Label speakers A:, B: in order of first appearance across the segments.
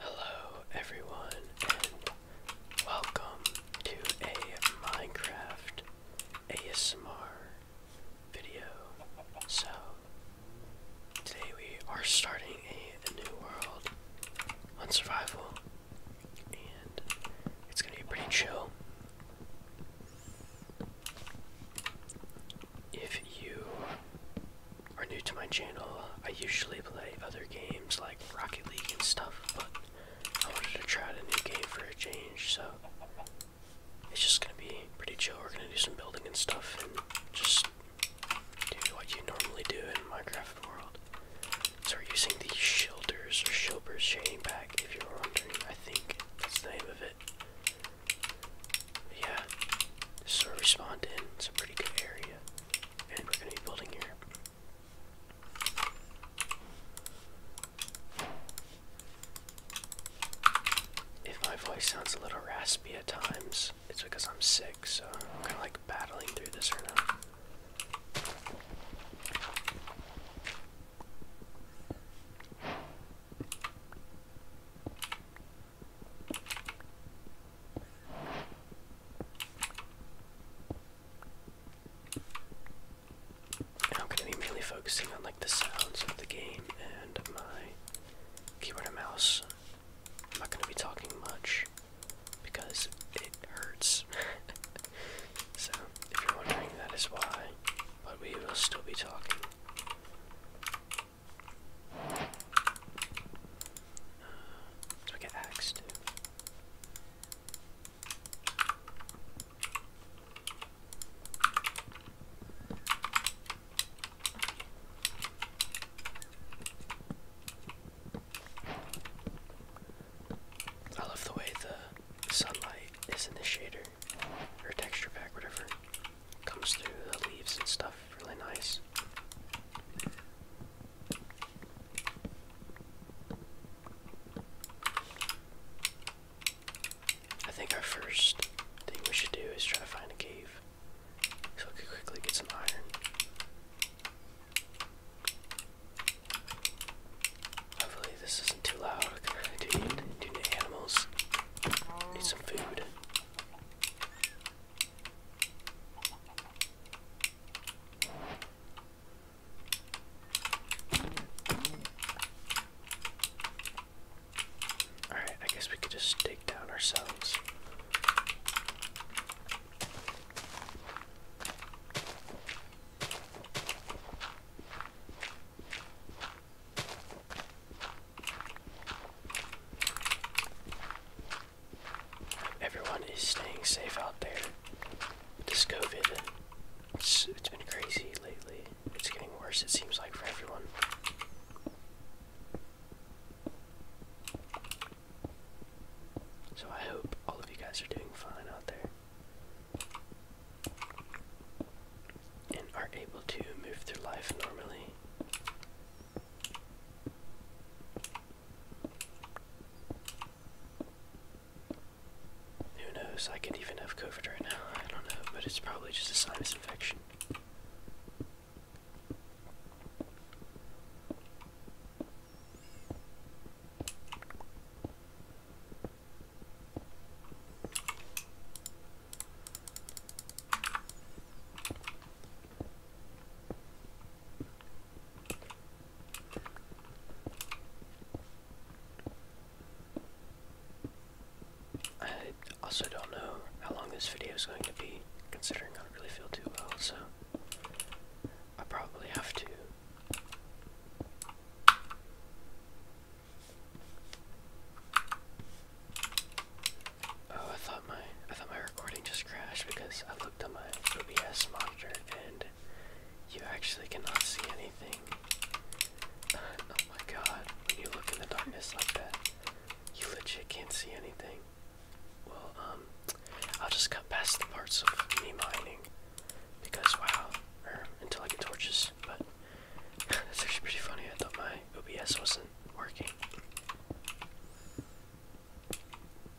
A: Hello everyone and welcome to a Minecraft ASMR video. So today we are starting a, new world on survival and it's gonna be pretty chill. If you are new to my channel, I usually play other games like Rocket League and stuff, but I wanted to try out a new game for a change, so it's just gonna be pretty chill. We're gonna do some building and stuff and just do what you normally do in Minecraft world. So we're using the shielders or shilbers shading pack if you're wondering, I think that's the name of it yeah, so sort of respawned It's a pretty good area, and we're gonna be building here. If my voice sounds a little raspy at times, it's because I'm sick, so I'm kind of like battling through this right now. I'm gonna be mainly focusing on like the sounds of the game and my keyboard and mouse. I'm not gonna be talking much because it hurts. so if you're wondering that is why, but we will still be talking. Do I get axe I love the way the sunlight is in the shader or texture pack, whatever comes through the leaves and stuff, really nice. I think our first thing we should do is try to find a cave so we can quickly get some iron. Hopefully this isn't too loud. I do need, do animals. Need some food. Alright, I guess we could just take down ourselves. Everyone is staying safe out there. This COVID, it's, it's been crazy lately. It's getting worse, it seems like, for everyone. So I hope all of you guys are doing fine out there and are able to move through life normally. Who knows? I could even have COVID right now. I don't know, but it's probably just a sinus infection. I also don't know how long this video is going to be, considering I don't really feel too well, so I probably have to Oh, I thought my I thought my recording just crashed because I looked at my OBS monitor and you actually cannot see anything. oh my god, when you look in the darkness like that, you legit can't see anything. Well, um, I'll just cut past the parts of me mining because wow, until I get torches, but that's actually pretty funny. I thought my OBS wasn't working.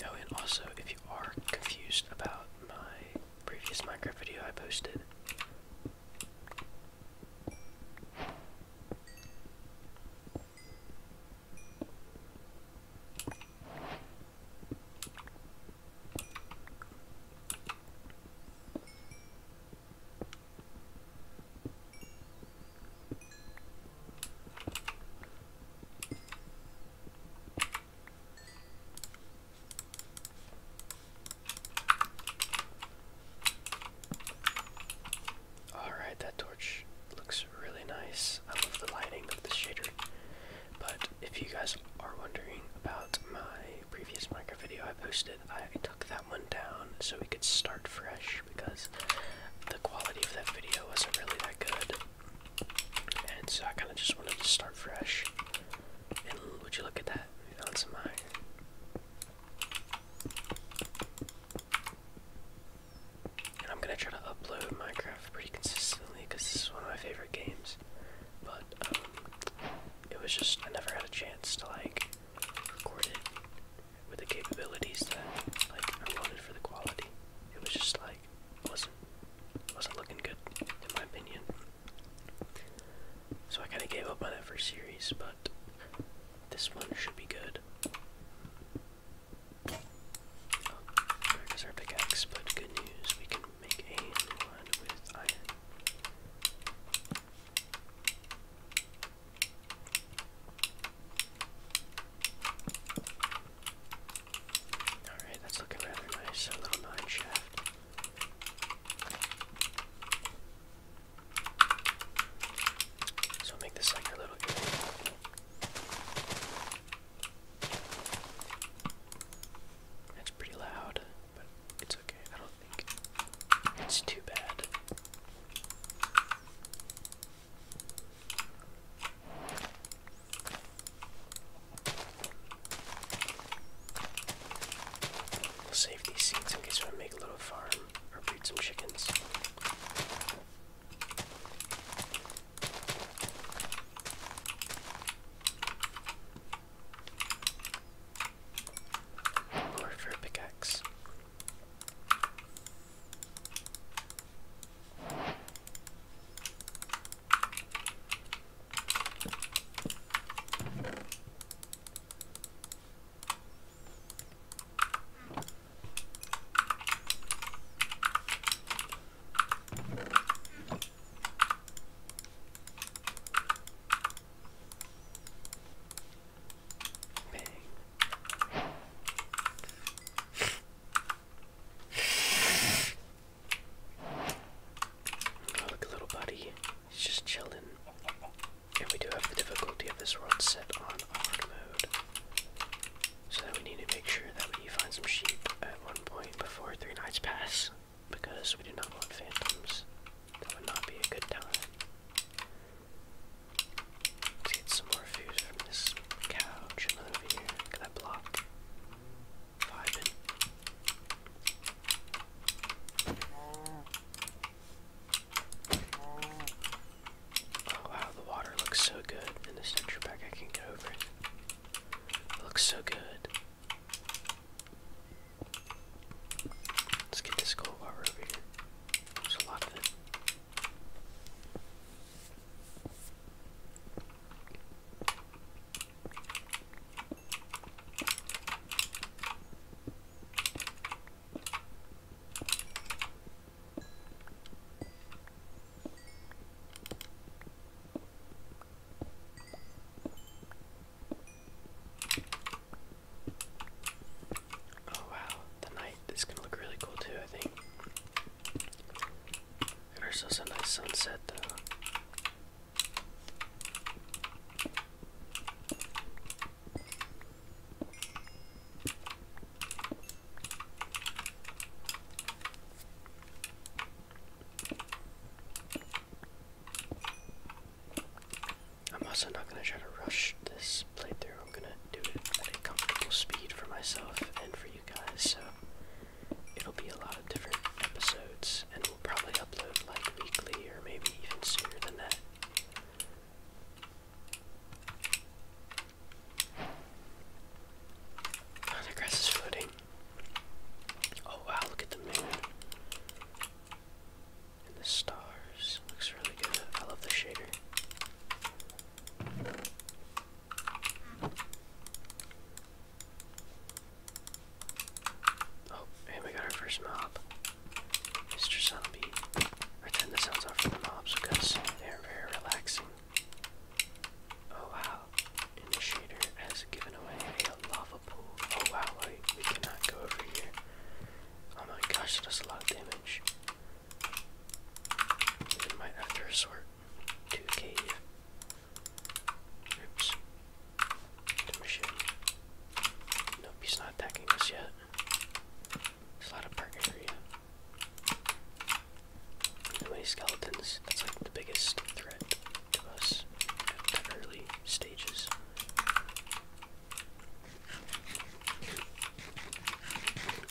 A: Oh, and also, if you are confused about my previous Minecraft video I posted, Alright, that torch looks really nice. I love the lighting of the shader. But if you guys are wondering about my previous Minecraft video I posted, I took that one down so we could start fresh because the quality of that video wasn't really that good. And so I kind of just wanted to start fresh. And would you look at that? We found And I'm gonna try to upload Minecraft pretty consistently because this is one of my favorite games. But um, it was just I never had a chance to like record with the capabilities that I wanted for the quality. It was just like wasn't wasn't looking good in my opinion. So I kind of gave up on that first series, but this one should be good. Oh, there goes our pickaxe, but good news, we can make a new one with iron. Alright, that's looking rather nice. little mine shaft. So make this like a little That's pretty loud it's okay. I don't think it's too bad. We'll save these seeds in case we make a little farm or breed some chickens. Or for a pickaxe. Bang. look, little buddy. He's just chilling. And we do have the difficulty of this world set on hard mode. So that we need to make sure that we find some sheep at one point before three nights pass. Because we do not want phantoms that would not be a good time. get some more food from this couch over here. Can I block? Oh wow, the water looks so good in this texture pack. I can get over It looks so good. Let's get this gold while we're over here. There's a lot of it. Oh wow, the night is going look really cool too, I think. And ourselves a nice sunset though. I'm also not gonna try to rush this playthrough. I'm gonna do it at a comfortable speed for myself and for you guys. So it'll be a lot of different episodes, and we'll probably upload like weekly or maybe even sooner than that. Oh, the grass is floating. Oh wow, look at the moon and the stars. Looks really good. I love the shader. Oh, and we got our first mob. Mr. Zombie. I the sounds off for the mobs because they're very relaxing. Oh wow. the shader has given away lava pool. Oh wow, wait, we cannot go over here. Oh my gosh, that does a lot of damage. might have to resort to a Oops. To machine. Nope, not attacking us yet. a lot of park area. Too many skeletons. That's like the biggest threat to us at the early stages.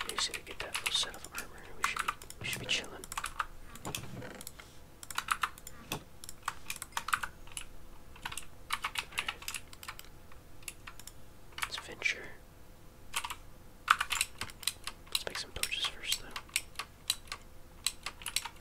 A: Okay, so get that full set of armor, we should we should be chilling. Let's venture. Let's make some torches first, though.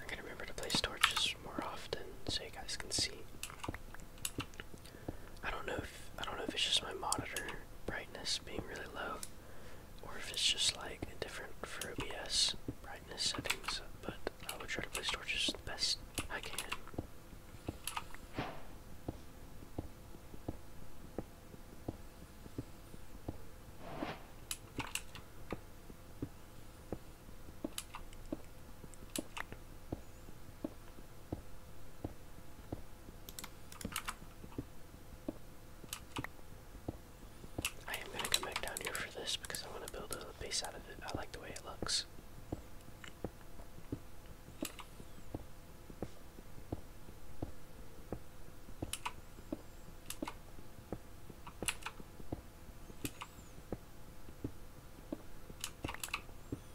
A: I'm gonna remember to place torches more often so you guys can see. I don't know if I don't know if it's just my monitor brightness being really low, or if it's just like a different for OBS brightness settings. But I will try to place torches the best I can. I am gonna come back down here for this because I want to build a base out of it. I like the way it looks.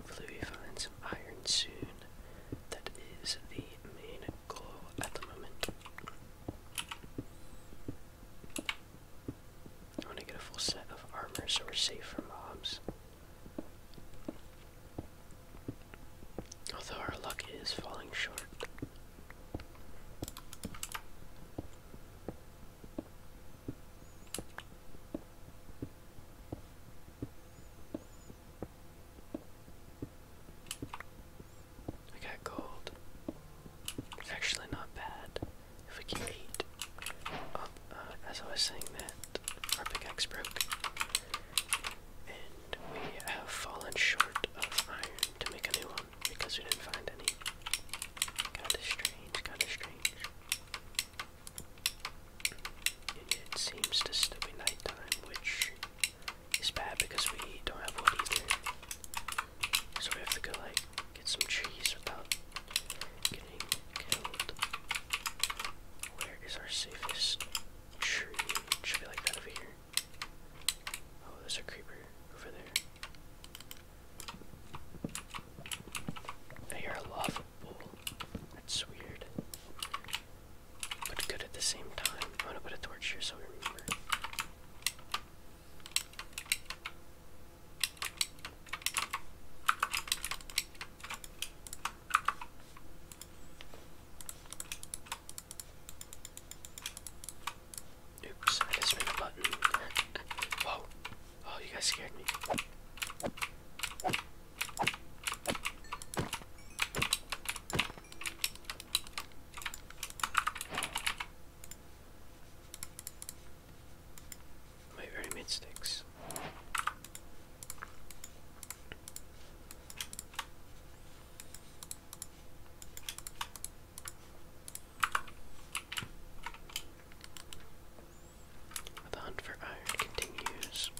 A: Hopefully we find some iron soon. That is the main goal at the moment. I want to get a full set of armor so we're safe from mobs. Although our luck is falling short. I got gold. It's actually not bad. If we can eat. Uh, as I was saying that, our big pickaxe broke. And we have fallen short of iron to make a new one because we didn't find any. Kinda strange, kinda strange. It seems to still be nighttime, which is bad because we don't have wood either. So we have to go like get some trees without getting killed. Where is our safest tree? should be like over here. Oh, there's a creeper over there. I hear a lava pool. That's weird but good at the same time. I'm gonna put a torch here so we remember. Oops, I just made a button. Whoa. Oh, you guys scared me. My very mid sticks. The hunt for iron continues.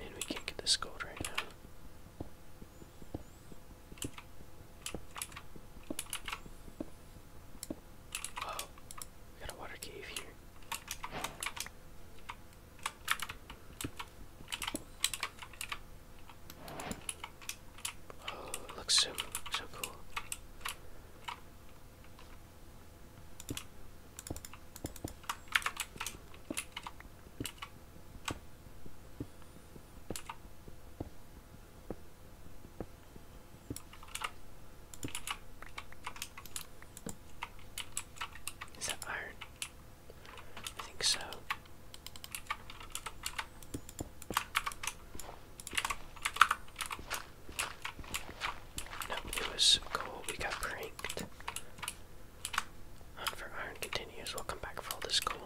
A: And we can't get this gold right now. Oh, we got a water cave here. Oh, looks so, so cool. Is that iron? I think so. Nope, it was cool. We got pranked. Hunt for iron continues. we back for all this coal.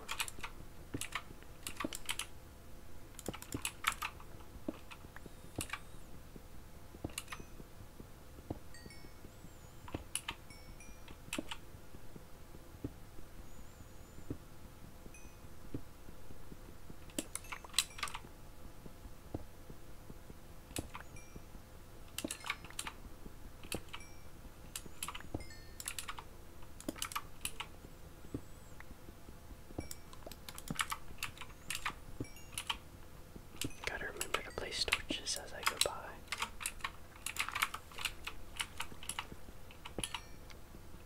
A: Gotta remember to place torches as I go by.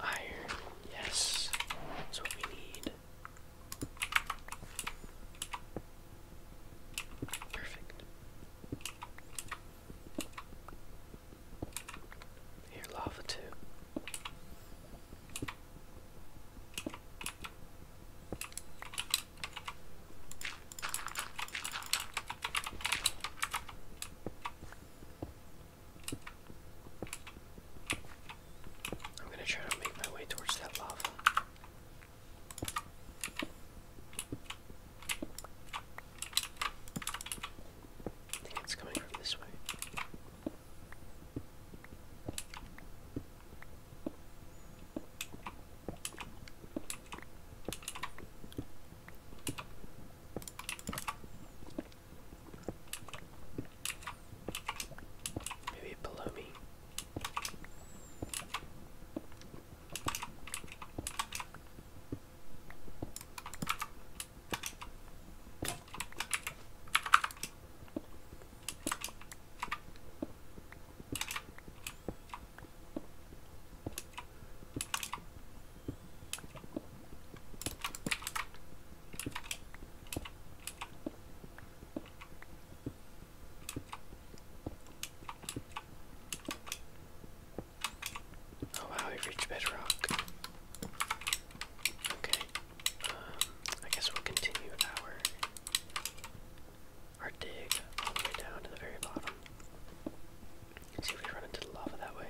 A: Iron, yes, that's what we need. Perfect. Here, lava too. I'm gonna try to make my way towards that lava. I think it's coming from this way. Maybe below me. Oh wow, we reached bedrock. Okay, um, I guess we'll continue our our dig all the way down to the very bottom. Let's see if we run into the lava that way.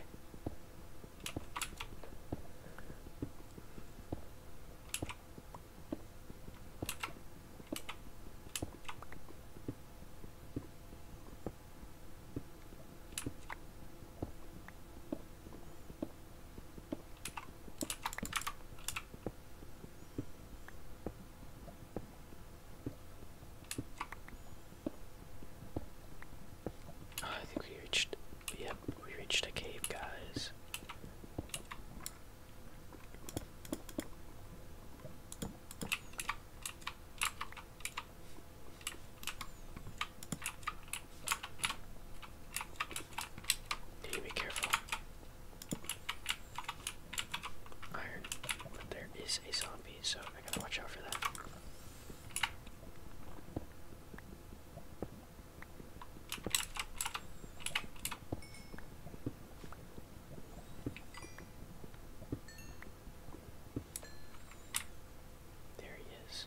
A: Oh, I think we reached. Yep, we reached a cave, guys. be careful. Iron, but there is a zombie so I gotta watch out for that. There he is.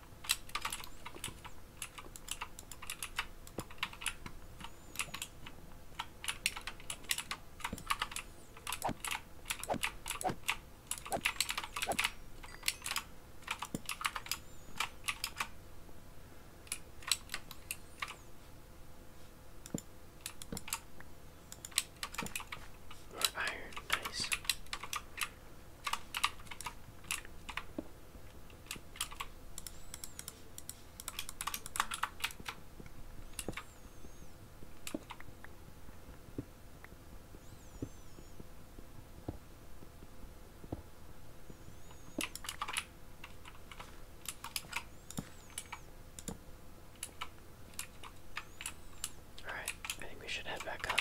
A: More iron, nice. Alright, I think we should head back up.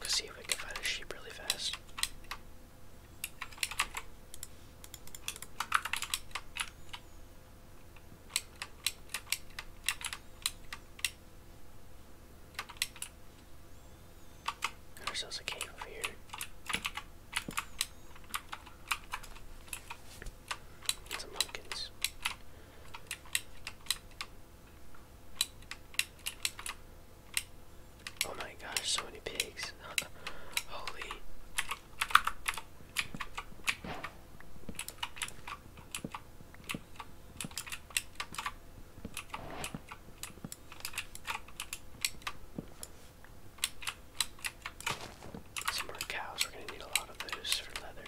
A: Let's see if we can find a sheep really fast. Got ourselves a cave over here. some pumpkins. Oh my gosh, so many pigs. Holy. Some more cows, we're going to need a lot of those for leather.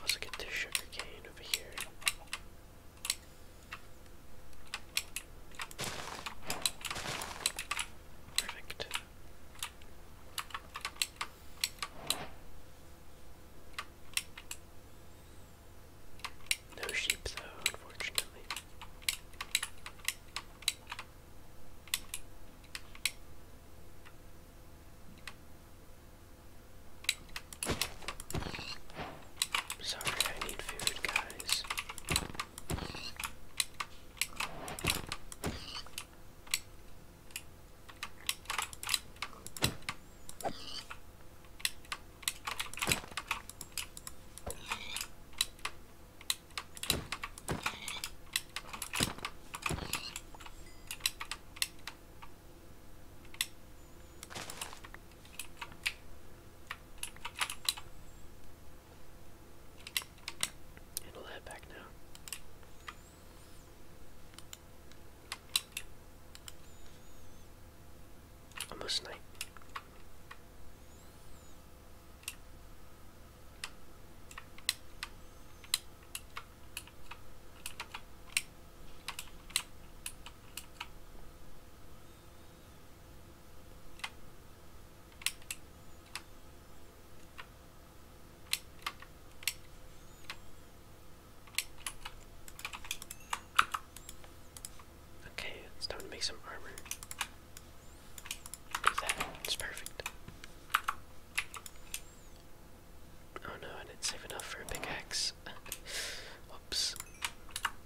A: Let's get this sugar over here. Perfect. No sheep though, unfortunately. Sorry, I need food, guys. Handle that back now. I'm a snipe. Okay, it's time to make some armor. Do that, it's perfect. Oh no, I didn't save enough for a pickaxe. Whoops.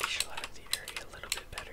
A: Visualize the area a little bit better.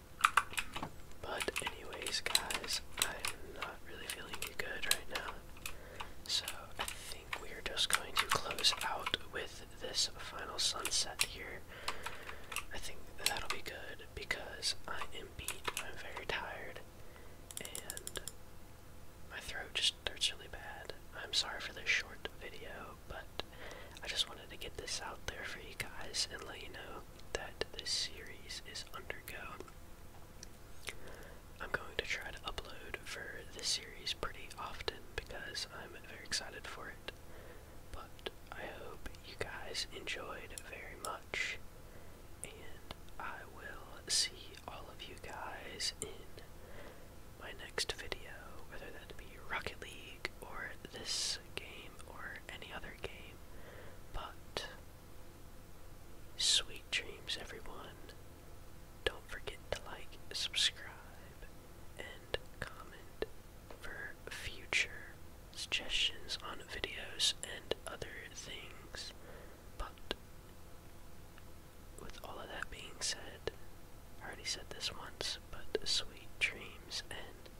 A: But anyways, guys, I'm not really feeling good right now. So I think we are just going to close out with this final sunset here. I think that'll be good because I am beat. I'm very tired, and my throat just hurts really bad. I'm sorry for this short video but I just wanted to get this out there for you guys and let you know that this series is undergo. I'm going to try to upload for this series pretty often because I'm very excited for it. But I hope you guys enjoyed very much, and I will see all of you guys in my next video, whether that be Rocket League or this game or any other game, but sweet dreams, everyone. Don't forget to like, subscribe, and comment for future suggestions on videos and other things. But with all of that being said, I already said this once, but sweet dreams and